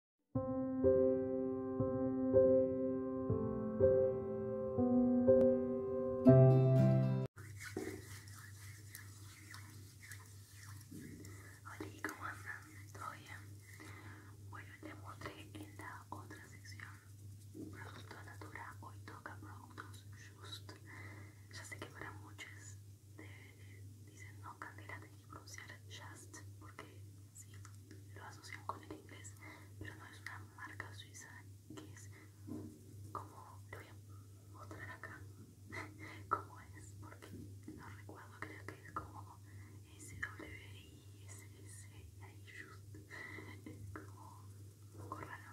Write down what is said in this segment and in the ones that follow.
Hola, ¿cómo andan? ¿Todo bien? Bueno, les mostré en la otra sección Producto Natura. Hoy toca Productos Just. Ya sé que para muchos de, dicen no, Candela, tenés que pronunciar Just porque sí, lo asocian con el inglés, pero no es una marca suiza que es como le voy a mostrar acá como es, porque no recuerdo, creo que es como SWISS y ahí just es como un poco raro,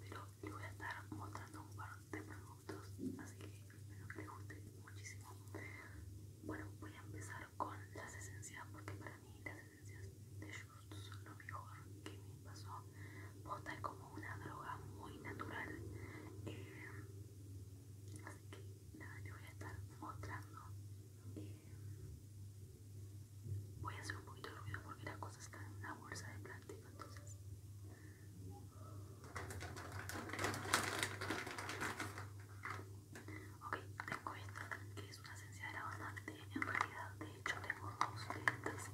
pero le voy a estar mostrando un par de productos, así que espero que les guste muchísimo. Bueno, voy a empezar con las esencias porque para mí las esencias de Just son lo mejor que me pasó. Pota es como una droga muy natural. Eh, así que nada, te voy a estar mostrando. Eh, voy a hacer un poquito de ruido porque las cosas están en una bolsa de plástico, entonces. Ok, tengo esta que es una esencia de lavanda de, en realidad, de hecho tengo dos de estas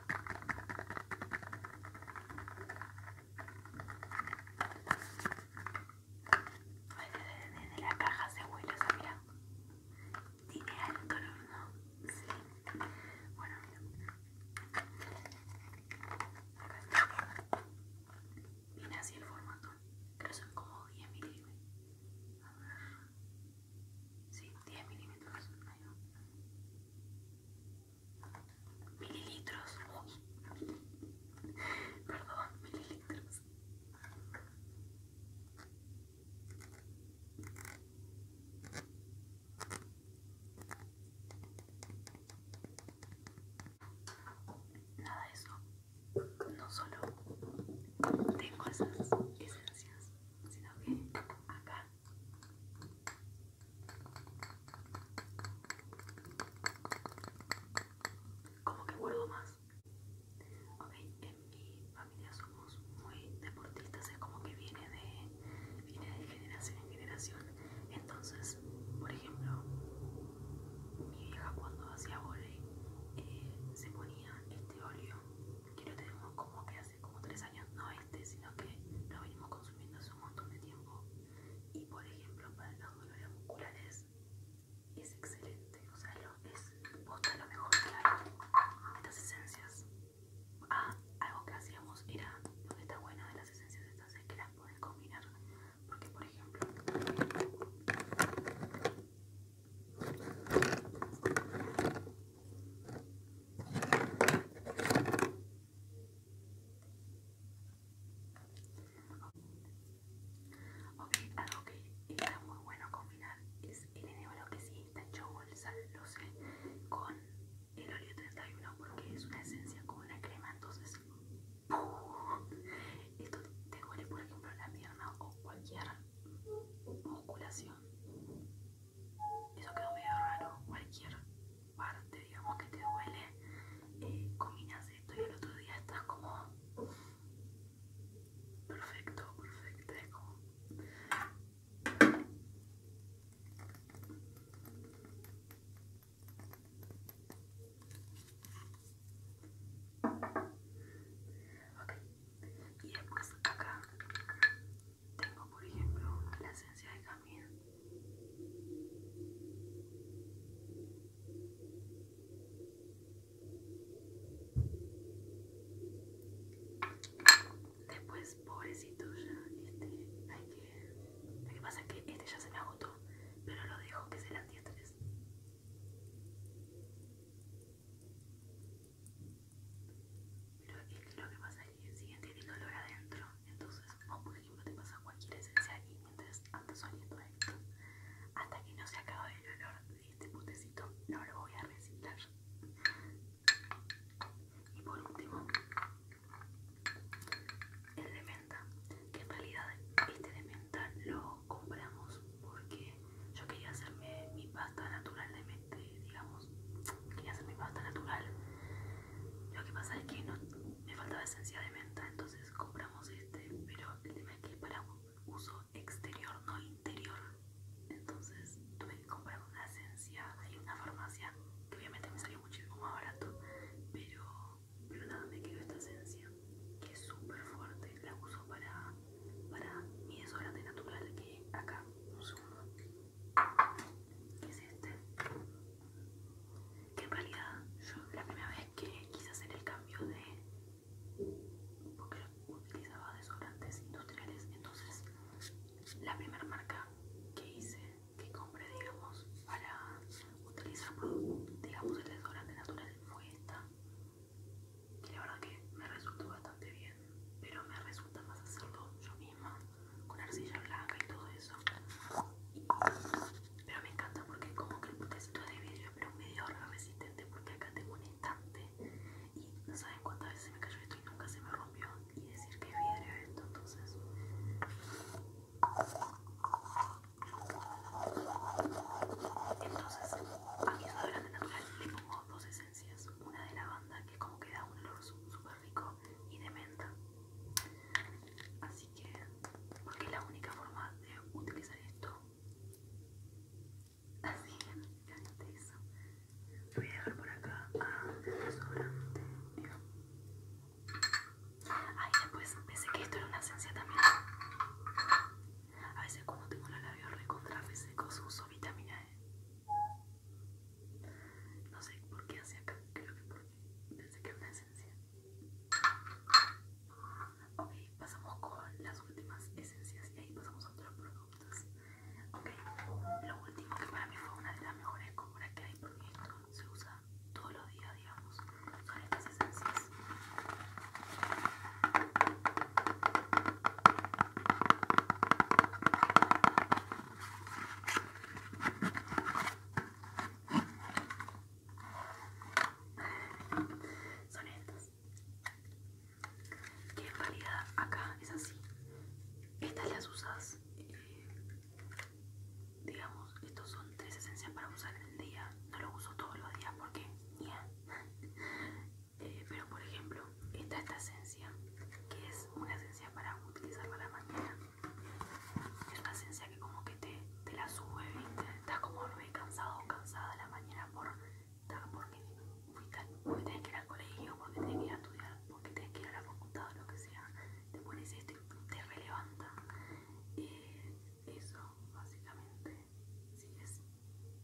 de la caja se huele, mira. Tiene alto ¿no? Sí. Bueno, mira. Acá Viene así el formato. pero son como 10 milímetros. A ver. Sí, 10 milímetros. Ahí va mililitros. Perdón, mililitros. Nada de eso. No solo tengo esas esencias, sino que acá como que vuelvo más ok en mi familia somos muy deportistas es como que viene de viene de generación en generación entonces por ejemplo mi vieja cuando hacía volei eh, se ponía este óleo que lo tenemos como que hace como tres años no es sino que lo venimos consumiendo hace un montón de tiempo. Y por ejemplo, para las dolores musculares es excelente, o sea, lo, es posta lo mejor que hay. Estas esencias. Ah, algo que hacíamos era lo que está bueno de las esencias estas es que las pueden combinar. Porque, por ejemplo, Ok, algo que está muy bueno combinar es el enebro que sí está hecho bolsa, lo sé, con el óleo 31 porque es una esencia como una crema, entonces esto te huele por ejemplo la pierna o cualquier musculación. Eso quedó medio raro, cualquier parte, digamos, que te duele, eh, esto y el otro día estás como perfecto, perfecto, es como... y después acá tengo por ejemplo la esencia de camino Después, pobrecito ya, este, hay que... Lo que pasa es que este ya se me agotó, pero lo dejo que se la antiestrés. Pero es este, lo que pasa es y el siguiente tiene olor adentro. Entonces, o por ejemplo, te pasa cualquier esencia y mientras andas oliendo esto, hasta que no se acabe el olor de este botecito no lo voy a reciclar. Y por último, el de menta, que en realidad este de menta lo compramos porque yo quería hacerme mi pasta natural de menta, digamos, quería hacer mi pasta natural. Lo que pasa es que me faltaba esencia de menta, entonces compramos este, pero el tema es que es para uso exterior, no interior. Entonces tuve que comprar una esencia en una farmacia, que obviamente me salió muchísimo más barato, pero, pero nada, me quedó esta esencia, que es súper fuerte, la uso para, para mi desodorante natural, que acá, un segundo que es este que en realidad yo la primera vez que quise hacer el cambio de porque utilizaba desodorantes industriales entonces la primera marca que hice que compré digamos para utilizar digamos el desodorante natural fue esta que la verdad que me resultó bastante bien pero me resulta más hacerlo yo misma con arcilla blanca y todo eso. Pero me encanta porque como que el potecito de vidrio, pero un medio resistente porque acá tengo un estante y no saben cuántas veces se me cayó esto y nunca se me rompió y decir que es vidrio esto, entonces... Entonces, a mi desodorante natural le pongo dos esencias, una de lavanda que como que da un olor súper rico y de menta. Así Así que, porque es la única forma de utilizar esto. Así que, eso. Lo voy a dejar por acá a ah, sobrante. Mira. Ahí después pensé que esto era una esencia también. A veces como tengo los labios recontra secos uso vitamina E. No sé por qué hace acá, creo que por Pensé que era una esencia. Ok, pasamos con las últimas esencias y ahí pasamos a otros productos. Ok, lo último que para mí fue una de las mejores compras que hay porque se usa todos los días, digamos, son estas esencias. Son estas. Que en acá es así. Estas las usas. Eh, digamos, estos son tres esencias para usar en el día. No lo uso todos los días porque. Eh, pero por ejemplo, es esta esencia, que es una esencia para utilizar para la mañana es la esencia que como que te, te la sube, ¿viste? Estás como re cansado o cansada de la mañana por, porque tienes tenés que ir al colegio, porque tienes que ir a estudiar, porque tienes que ir a la facultad o lo que sea. Te pones esto y te relevanta. Eh, eso, básicamente, sí es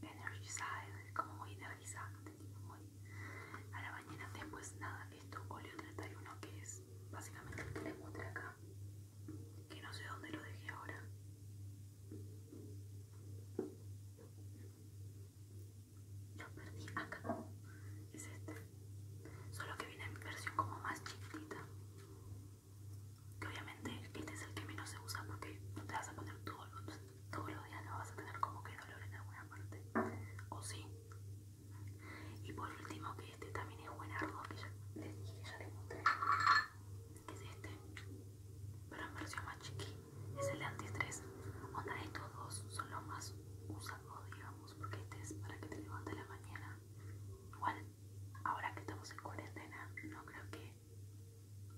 energizada, es como muy energizante, muy a la mañana después nada esto, óleo 31 que es básicamente el que les mostré acá que no sé dónde lo dejé ahora lo perdí acá es este solo que viene en versión como más chiquitita que obviamente este es el que menos se usa porque no te vas a poner todos los, todos los días no vas a tener como que dolor en alguna parte o sí y por último, que este también es buen arroz que les dije, ya les mostré, que es este, pero en pareció más chiqui, es el anti anti-estrés. Onda, estos dos son los más usados, digamos, porque este es para que te levantes la mañana. Igual, ahora que estamos en cuarentena, no creo que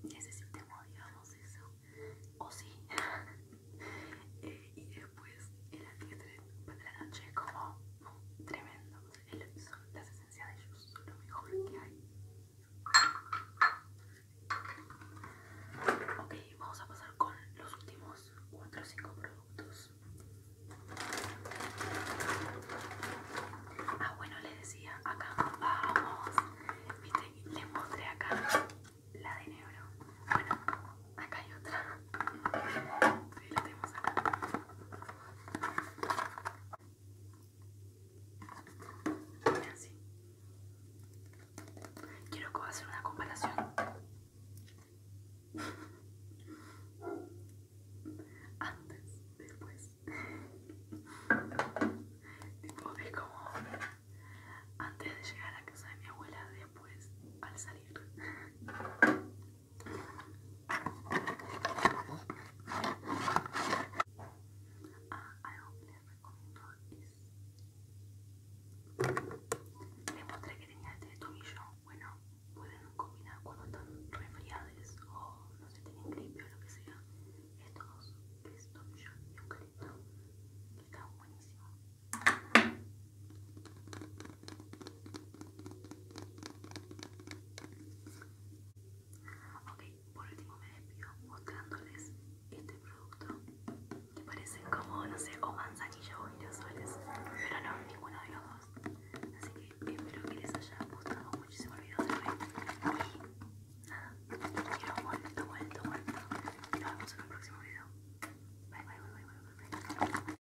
necesitemos, digamos, eso. O sí. Eh, y después el alquitrán para la noche como tremendo. El, son las esencias de ellos, son lo mejor que hay. Ok, vamos a pasar con los últimos 4 o 5 productos. Ah, bueno, les decía, acá vamos. Viste, les mostré acá la de negro. Bueno, acá hay otra. Sí, la tenemos acá. Y así. Quiero hacer una comparación. Antes, después. tipo, es como antes de llegar a la casa de mi abuela, después al salir algo que les recomiendo es... Les mostré que tenía este tomillo. Bueno, pueden combinar cuando están resfriados o no sé, tienen gripio o lo que sea. Estos que es tomillo y eucalipto, que están buenísimo. Ok, por último me despido mostrándoles este producto que parecen como, no sé, o manzanilla o girasoles, pero no, ninguno de los dos. Así que espero que les haya gustado muchísimo el video de hoy. Y nada, los quiero vuelto, vuelto, Y Nos vemos en un próximo video. Bye, bye, bye, bye, bye. bye.